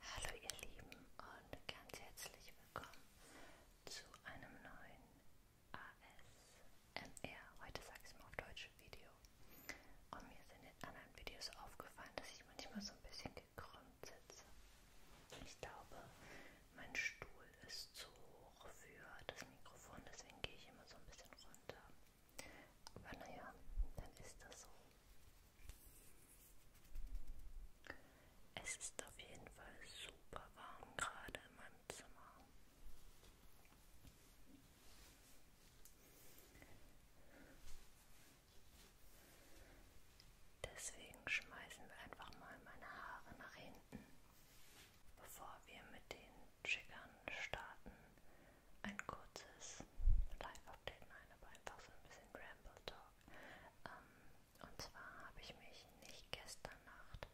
Hallo ihr Lieben und ganz herzlich willkommen zu einem neuen ASMR, heute sage ich es mal auf Deutsch, Video. Und mir sind in anderen Videos aufgefallen, dass ich manchmal so ein bisschen gekrümmt sitze. Ich glaube, mein Stuhl ist zu hoch für das Mikrofon, deswegen gehe ich immer so ein bisschen runter. Aber naja, dann ist das so. Es ist auf jeden Fall super warm gerade in meinem Zimmer. Deswegen schmeißen wir einfach mal meine Haare nach hinten, bevor wir mit den Triggern starten ein kurzes Live-Update, nein, aber einfach so ein bisschen Ramble-Talk. Ähm, und zwar habe ich mich nicht gestern Nacht,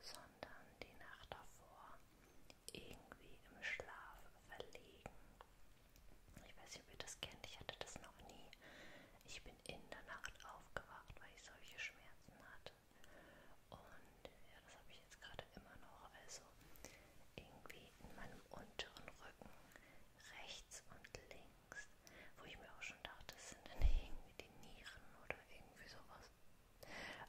sondern die Nacht davor irgendwie im Schlaf verlegen. Ich weiß nicht, ob ihr das kennt, ich hatte das noch nie. Ich bin in der Nacht aufgewacht, weil ich solche Schmerzen hatte. Und ja, das habe ich jetzt gerade immer noch. Also irgendwie in meinem unteren Rücken, rechts und links, wo ich mir auch schon dachte, das sind dann irgendwie die Nieren oder irgendwie sowas.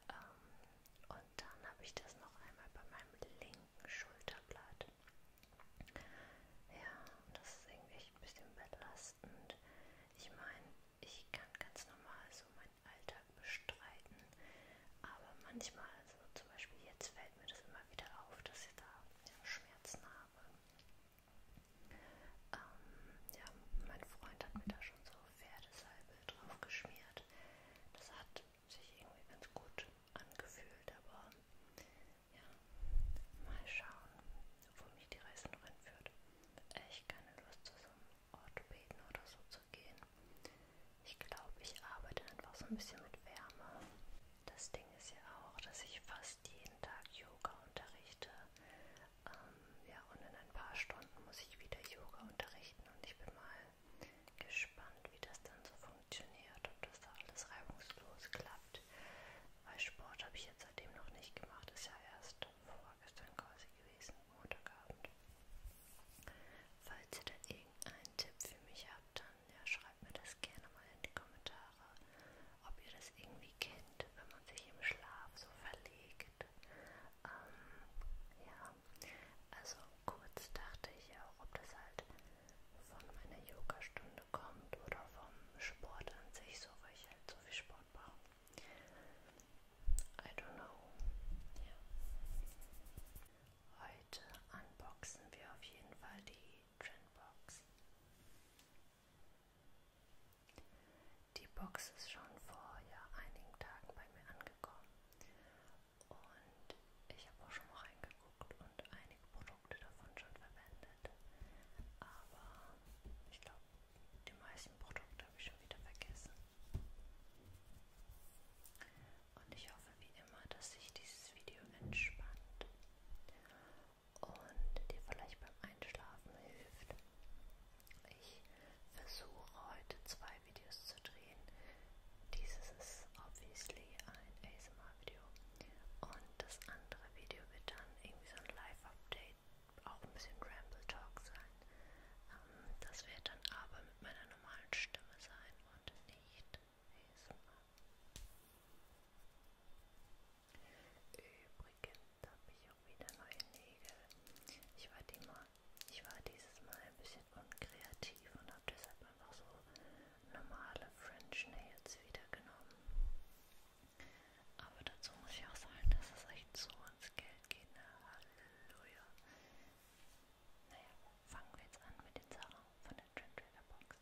Ähm, und dann habe ich das noch einmal bei meinem linken Schulterblatt. Ja, das ist irgendwie echt ein bisschen belastend. Ich meine, ich kann ganz normal so meinen Alltag bestreiten. Aber manchmal, also zum Beispiel jetzt fällt mir das immer wieder auf, dass ich da ja, Schmerzen habe. Ähm, ja, mein Freund hat mir da schon so Pferdesalbe drauf geschmiert. Das hat sich irgendwie ganz gut angefühlt, aber ja, mal schauen, wo mich die Reise noch hinführt. Echt keine Lust, so Orthopäden oder so zu gehen. Ich glaube, ich arbeite einfach so ein bisschen mit Wärme. Das Ding ist ja auch, dass ich fast jeden Tag Yoga unterrichte. Ähm, ja, und in ein paar Stunden muss ich wieder Yoga unterrichten und ich bin mal gespannt, wie das dann so funktioniert, ob das da alles reibungslos klappt. Weil Sport habe ich jetzt seitdem noch nicht gemacht, ist ja erst vorgestern quasi gewesen. Montagabend. Falls ihr da irgendeinen Tipp für mich habt, dann ja, schreibt mir das gerne mal in die Kommentare, ob ihr das irgendwie kennt, wenn man sich im Schlaf so verlegt. Ähm, ja, also kurz dachte ich auch, ob das halt von meiner Yoga-Stunde kommt oder vom Sport an sich, so weil ich halt so viel Sport mache. I don't know. Ja. Heute unboxen wir auf jeden Fall die Trendbox. Die Box ist schon vor ja, einigen Tagen bei mir angekommen und ich habe auch schon mal reingeguckt und einige Produkte davon schon verwendet. Aber ich glaube, die meisten Produkte glaube ich, schon wieder vergessen. Und ich hoffe wie immer, dass sich dieses Video entspannt und dir vielleicht beim Einschlafen hilft. Ich versuche heute zwei Videos zu drehen. Dieses ist obviously ein ASMR-Video und das andere Video wird dann irgendwie so ein Live-Update, auch ein bisschen Ramble Talk sein. Ähm, das wird dann aber mit meiner normalen Stimme sein und nicht ASMR. Übrigens habe ich auch wieder neue Nägel. Ich war, die mal, ich war dieses Mal ein bisschen unkreativ und habe deshalb einfach so normale French Nails wieder genommen. Aber dazu muss ich auch sagen, dass es echt so ins Geld geht. Ne? Halleluja. Naja, fangen wir jetzt an mit den Sachen von der Trend Trader Box.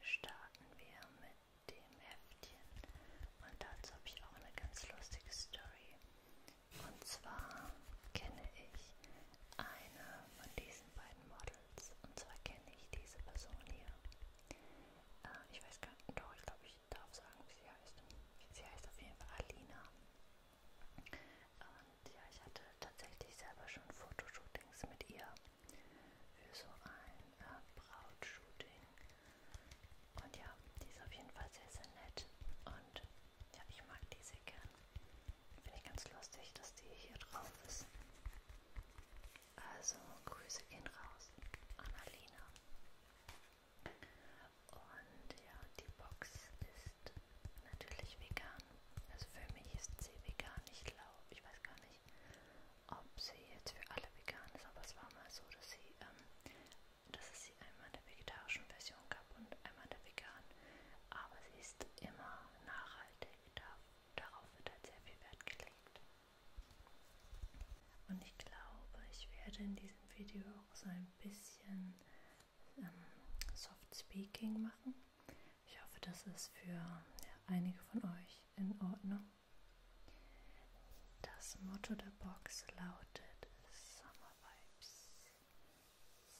Starten wir mit dem Heftchen und dazu habe ich auch eine ganz lustige Story. Und zwar kenne ich eine von diesen beiden Models. Und zwar kenne ich diese Person hier. Äh, ich weiß gar nicht, doch, ich glaube, ich ich darf sagen, wie sie heißt. Sie heißt auf jeden Fall Alina. Und ja, ich hatte tatsächlich selber schon Fotoshootings mit ihr für so ein äh, Brautshooting. Und ja, die ist auf jeden Fall sehr, sehr nett. Und ja, ich mag die sehr gern. Finde ich ganz lustig, dass die hier drauf ist. Also, Grüße gehen raus an Alina. Und ja, die Box ist natürlich vegan. Also für mich ist sie vegan. Ich glaube, ich weiß gar nicht, ob sie jetzt für alle vegan ist, aber es war mal so, dass sie, ähm, dass es sie einmal in der vegetarischen Version gab und einmal in der veganen. Aber sie ist immer nachhaltig. Da, darauf wird halt sehr viel Wert gelegt. Und ich glaube, ich werde in diesem Video auch so ein bisschen ähm, Soft Speaking machen. Ich hoffe, das ist für ja, einige von euch in Ordnung. Das Motto der Box lautet Summer Vibes.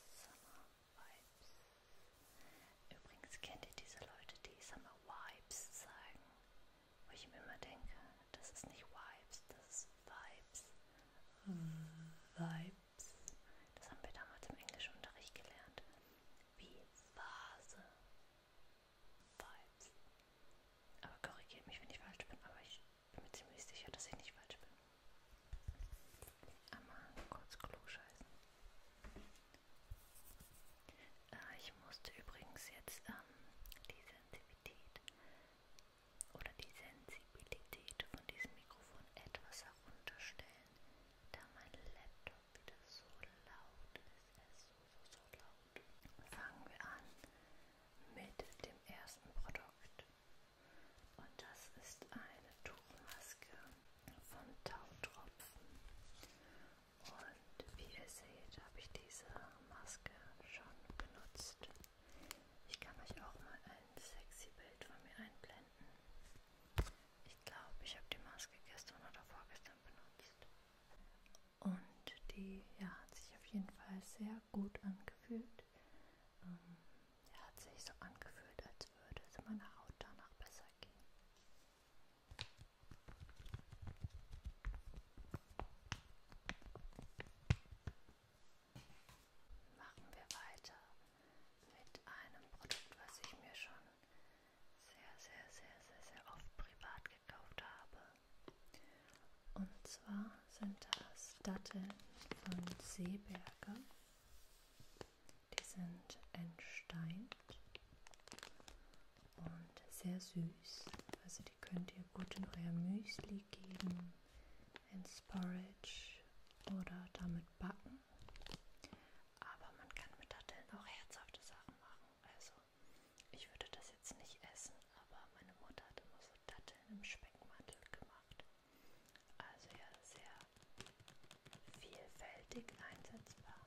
Summer Vibes. Übrigens kennt ihr diese Leute, die Summer Vibes sagen, wo ich mir immer denke, das ist nicht Vibes, das ist Vibes. Vibes. Das haben wir damals im Englischunterricht gelernt. Wie Vase. Vibes. Aber korrigiert mich, wenn ich falsch bin, aber ich bin mir ziemlich sicher, dass ich nicht falsch bin. Einmal kurz Klo scheißen. Äh, ich musste übrigens jetzt ähm, die Sensitivität oder die Sensibilität von diesem Mikrofon etwas herunterstellen, da mein Laptop wieder so laut ist. Er äh, ist so, so, so laut. Fangen wir an mit dem ersten Produkt. Und das ist eine Tuchmaske von Tautropfen. Und wie ihr seht, habe ich diese Maske schon benutzt. Ich kann euch auch mal ein sexy Bild von mir einblenden. Ich glaube, ich habe die Maske gestern oder vorgestern benutzt. Und die ja, hat sich auf jeden Fall sehr gut angefühlt. Ähm, ja, hat sich so angefühlt, als würde es meiner Haut danach besser gehen. Machen wir weiter mit einem Produkt, was ich mir schon sehr, sehr, sehr, sehr, sehr oft privat gekauft habe. Und zwar sind das Datteln von Seeberger. Die sind entsteint und sehr süß. Also also die könnt ihr gut in euer Müsli geben, ins Porridge oder damit backen. Aber man kann mit Datteln auch herzhafte Sachen machen. Also ich würde das jetzt nicht essen, aber meine Mutter hat immer so Datteln im Speckmantel gemacht. Also ja, sehr vielfältig einsetzbar.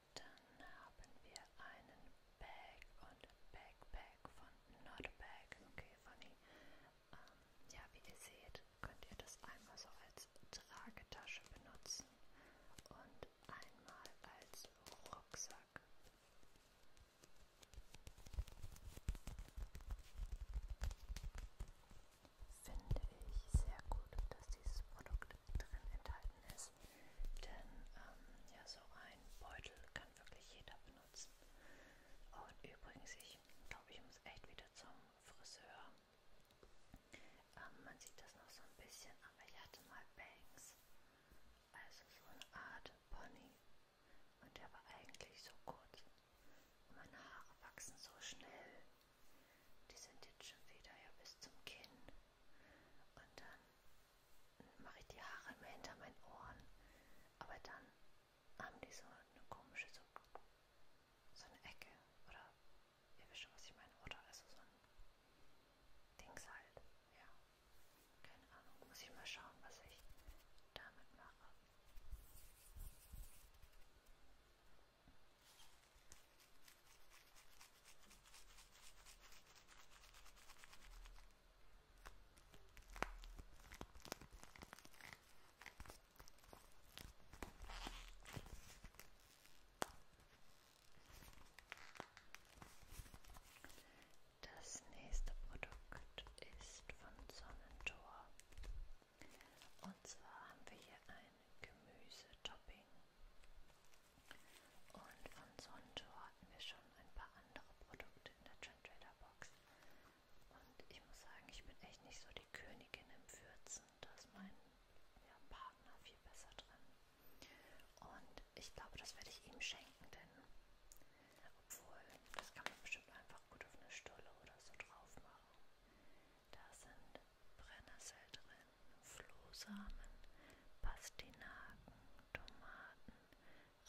Dann haben wir einen Bag und Backpack von Not a Bag. Okay, funny. Ähm, ja, wie ihr seht, könnt ihr das einmal so als Tragetasche benutzen und einmal als Rucksack. Finde ich sehr gut, dass dieses Produkt drin enthalten ist. Denn ähm, ja, so ein Beutel kann wirklich jeder benutzen. Und übrigens, ich glaube, ich muss echt wieder zum Friseur. Ähm, man sieht das noch so ein bisschen, aber ich hatte mal Bangs. Also so eine Art Pony. Und der war eigentlich so kurz. Und meine Haare wachsen so schnell. Die sind jetzt schon wieder ja bis zum Kinn. Und dann mache ich die Haare immer hinter meinen Ohren. Aber dann haben die so eine komische, so, so eine Ecke. Oder ihr wisst schon, was ich meine. Oder also so ein Dings halt. Ja. Keine Ahnung. Muss ich mal schauen, was ich damit mache. Das nächste Produkt ist von Sonnentor. Und zwar haben wir hier ein Gemüsetopping. Und von Sonto hatten wir schon ein paar andere Produkte in der Trend Trader Box. Und ich muss sagen, ich bin echt nicht so die Königin im Würzen. Da ist mein ja, Partner viel besser drin. Und ich glaube, das werde ich ihm schenken, denn obwohl, das kann man bestimmt einfach gut auf eine Stulle oder so drauf machen. Da sind Brennnessel drin, Flohsamen, Pastinaken, Tomaten,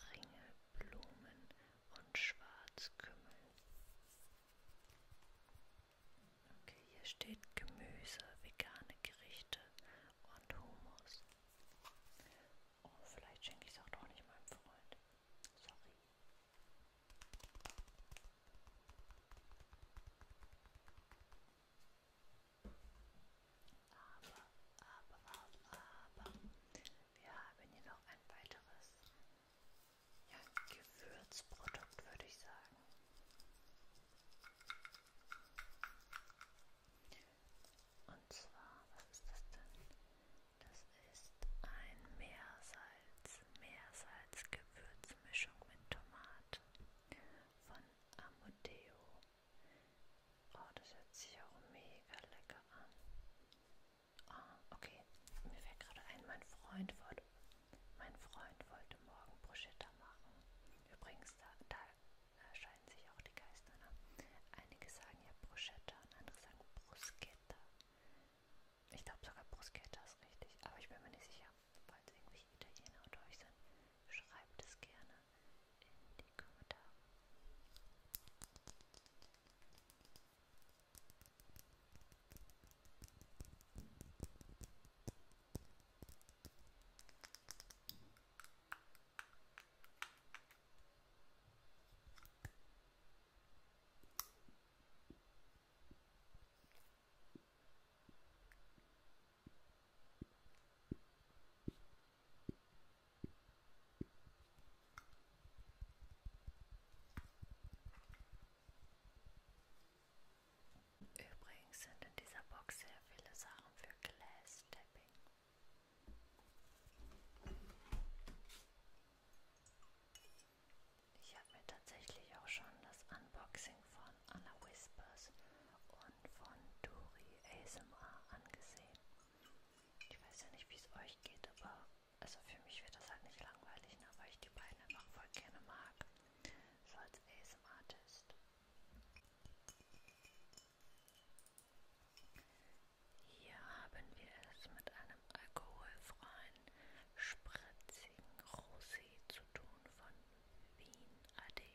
Ringel, Blumen und Schwarzkümmel. Okay, hier steht Gemüse, vegane Gerichte und Hummus. Oh, vielleicht schenke ich es auch doch nicht meinem Freund. Sorry. Aber, aber, aber, aber, wir haben hier noch ein weiteres ja, Gewürzprodukt, würde ich sagen. Und zwar, was ist das denn? Das ist ein Meersalz, Meersalz-Gewürzmischung mit Tomate von Amodeo. Oh, das hört sich auch mega lecker an. Oh, okay, mir fällt gerade ein, mein Freund wollte, mein Freund wollte morgen Bruschetta machen. Übrigens, da, da scheiden sich auch die Geister. Ne? Einige sagen ja Bruschetta und andere sagen Bruschetta. Ich glaube sogar Bruschetta ist richtig, aber ich bin mir nicht sicher falls irgendwelche Italiener unter euch sind, schreibt es gerne in die Kommentare. Übrigens sind in dieser Box sehr viele Sachen für Glass Tapping. Ich habe mir tatsächlich auch schon das Unboxing von Anna Whispers und von Duri ASMR angesehen. Ich weiß ja nicht, wie es euch geht, aber also für mich wird das halt nicht langweilig, ne, weil ich die beiden einfach voll gerne mag. So als ASMR-Test. Hier haben wir es mit einem alkoholfreien, spritzigen Rosé zu tun von Wien AD.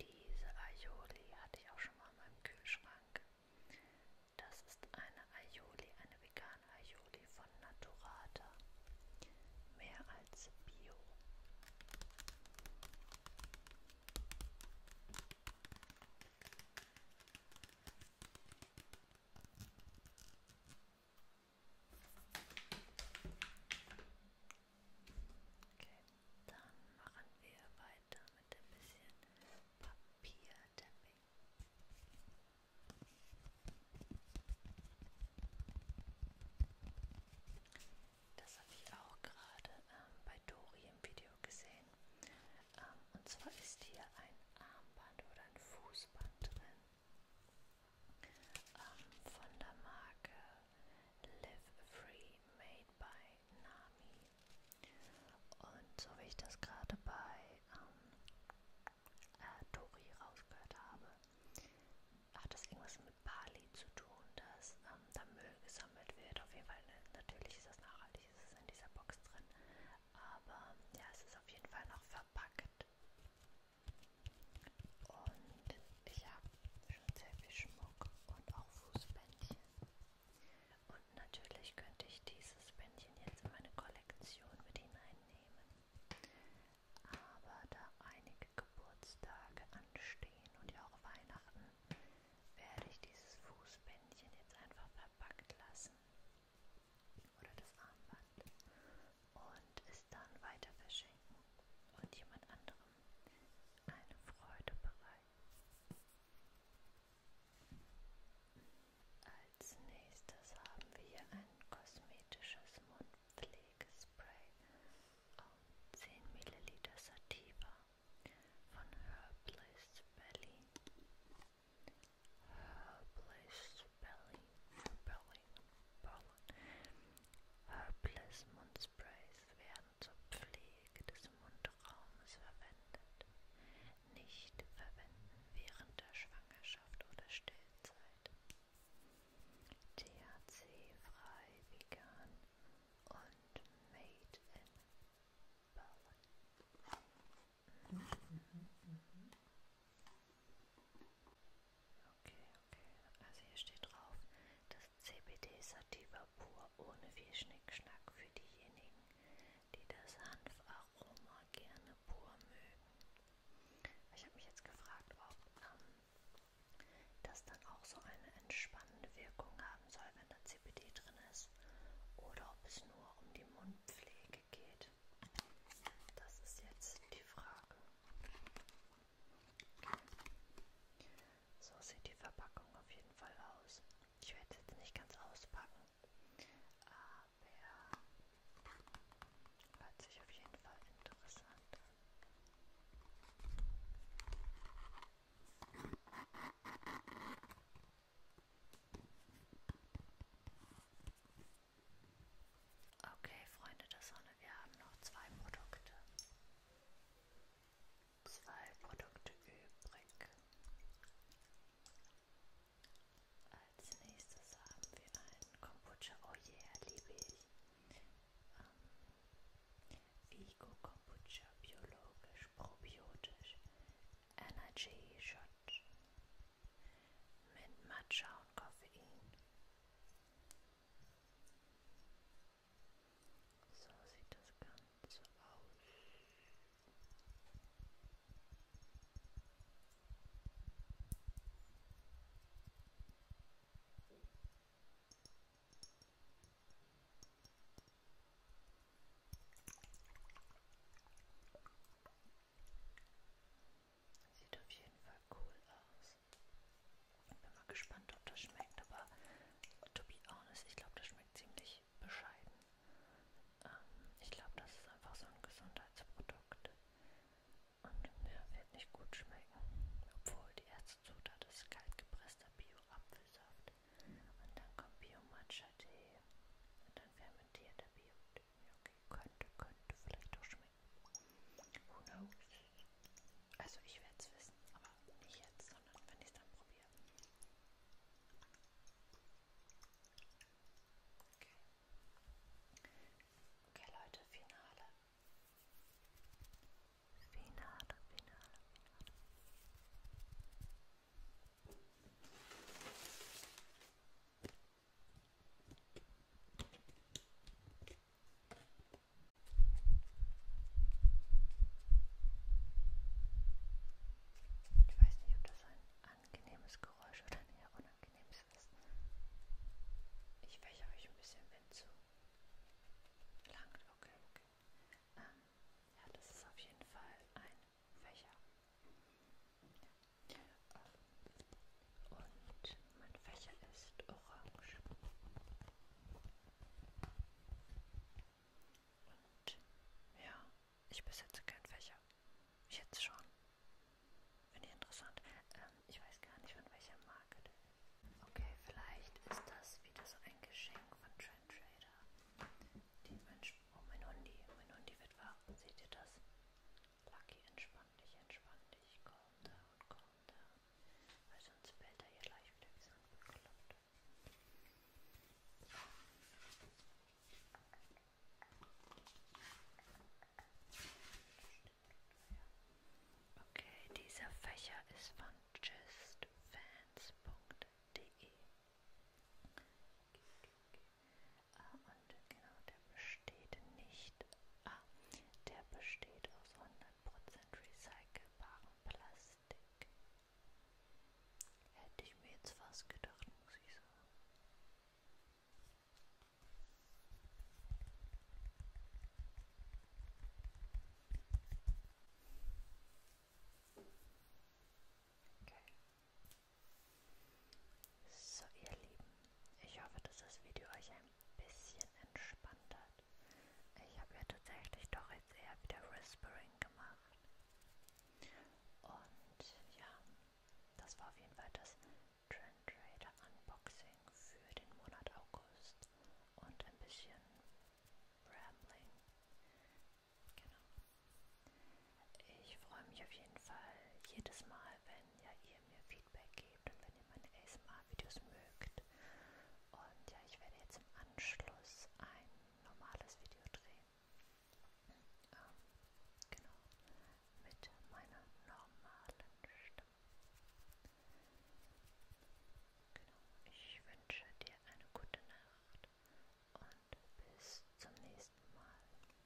Diese Aioli hatte ich auch schon mal in meinem Kühlschrank. Das ist eine Aioli, eine vegane Aioli von Naturata. Mehr als Bio. Okay, dann machen wir weiter mit ein bisschen Papiertapping. Das habe ich auch gerade ähm, bei Dori im Video gesehen. Ähm, und zwar ist hier ein Armband oder ein Fußband drin ähm, von der Marke Live Free Made by Nami. Und so wie ich das gerade bei ähm, äh, Tori rausgehört habe, hat das irgendwas mit Bali zu tun, dass ähm, da Müll gesammelt wird. Auf jeden Fall, ne, natürlich ist das nachhaltig, ist es in dieser Box drin. Aber ja, es ist auf jeden Fall noch verpackt. Und ich habe Teppichschmuck und auch Fußbändchen. Und natürlich könnte ich dieses Bändchen jetzt in meine Kollektion mit hineinnehmen. Aber da einige Geburtstage anstehen und ja auch Weihnachten, werde ich dieses Fußbändchen jetzt einfach verpackt lassen. Oder das Armband. Und es dann weiter verschenken und jemand anderem eine Freude bereiten. Als nächstes haben wir hier ein kosmetisches Mundpflegespray auf 10 ml Sativa von Herbless Belly. Herbless Belly, Belly, Berlin. Herbless Mundsprays werden zur Pflege des Mundraumes verwendet, nicht verwenden während der Schwangerschaft oder Stillzeit. THC-frei, vegan und made in Berlin. Mhm, mhm, mhm. Okay, okay. Also hier steht drauf, dass CBD-Sativa pur ohne viel Schnickschnack für diejenigen, die das Hanfaroma gerne pur mögen. Ich habe mich jetzt gefragt, ob ähm, das dann auch so eine entspannende Wirkung haben soll, wenn da CBD drin ist, oder ob es nur um die Mundpflege geht. Das ist jetzt die Frage. So sieht die Verpackung auf jeden Fall aus. Ich werde jetzt nicht ganz auspacken, aber hört sich auf jeden Fall interessant an. Okay, Freunde der Sonne, wir haben noch zwei Produkte zwei Produkte übrig. Als nächstes haben wir einen Kombucha. Oh yeah, liebe ich. Ähm, Vigo Kombucha, biologisch, probiotisch, Energy Shot mit Matcha und Koffein. So sieht das Ganze aus. Sieht auf jeden Fall cool aus. Bin mal gespannt, ob das schmeckt, aber to be honest, ich glaube, das schmeckt ziemlich bescheiden. Ähm, ich glaube, das ist einfach so ein Gesundheitsprodukt und ja, wird nicht gut schmecken, obwohl die erste Zutat ist kaltgepresster Bio-Apfelsaft und dann kommt Bio-Matcha-Tee und dann fermentierter Bio-Tee. Okay, könnte, könnte vielleicht auch schmecken. Who knows? Also ich werde es wissen, aber nicht jetzt, sondern wenn ich es dann probiere. Okay. Okay Leute, Finale. Finale, Finale, Finale. Ich weiß nicht, ob das ein angenehmes Geräusch oder ein eher unangenehmes ist. Ich fäche euch ein bisschen Wind zu. Langt, okay, okay. Ähm, ja, das ist auf jeden Fall ein Fächer. Ähm, und mein Fächer ist orange. Und ja, ich besitze keinen Fächer. Jetzt schon. Finde ich interessant. Ähm, ich weiß gar nicht, von welcher Marke. Okay, vielleicht ist das wieder so ein Geschenk von Trend Trader. Die Mensch, oh mein Hundi, mein Hundi wird wach. Seht ihr das? Lucky, entspann dich, entspann dich. Calm down, calm runter, weil sonst bellt er ja gleich wieder wie so ein Bekloppter. Okay, dieser Fächer ist von justfans.de ah, und genau, der besteht nicht. Ah, der besteht aus 100 recycelbaren Plastik. Hätte ich mir jetzt fast gedacht, muss ich sagen. Okay. So, ihr Lieben, ich hoffe, dass das Video euch ein bisschen entspannt hat. Ich habe ja tatsächlich doch jetzt eher wieder Whispering gemacht. Und ja, das war auf jeden Fall das Trend Trader Unboxing für den Monat August und ein bisschen Rambling. Genau. Ich freue mich auf jeden Fall jedes Mal, wenn ja ihr mir Feedback gebt und wenn ihr meine ASMR ASMR-Videos mögt. Und ja, ich werde jetzt im Anschluss ein normales Video drehen. Ähm, genau, mit meiner normalen Stimme. Genau, ich wünsche dir eine gute Nacht und bis zum nächsten Mal. Tschüss.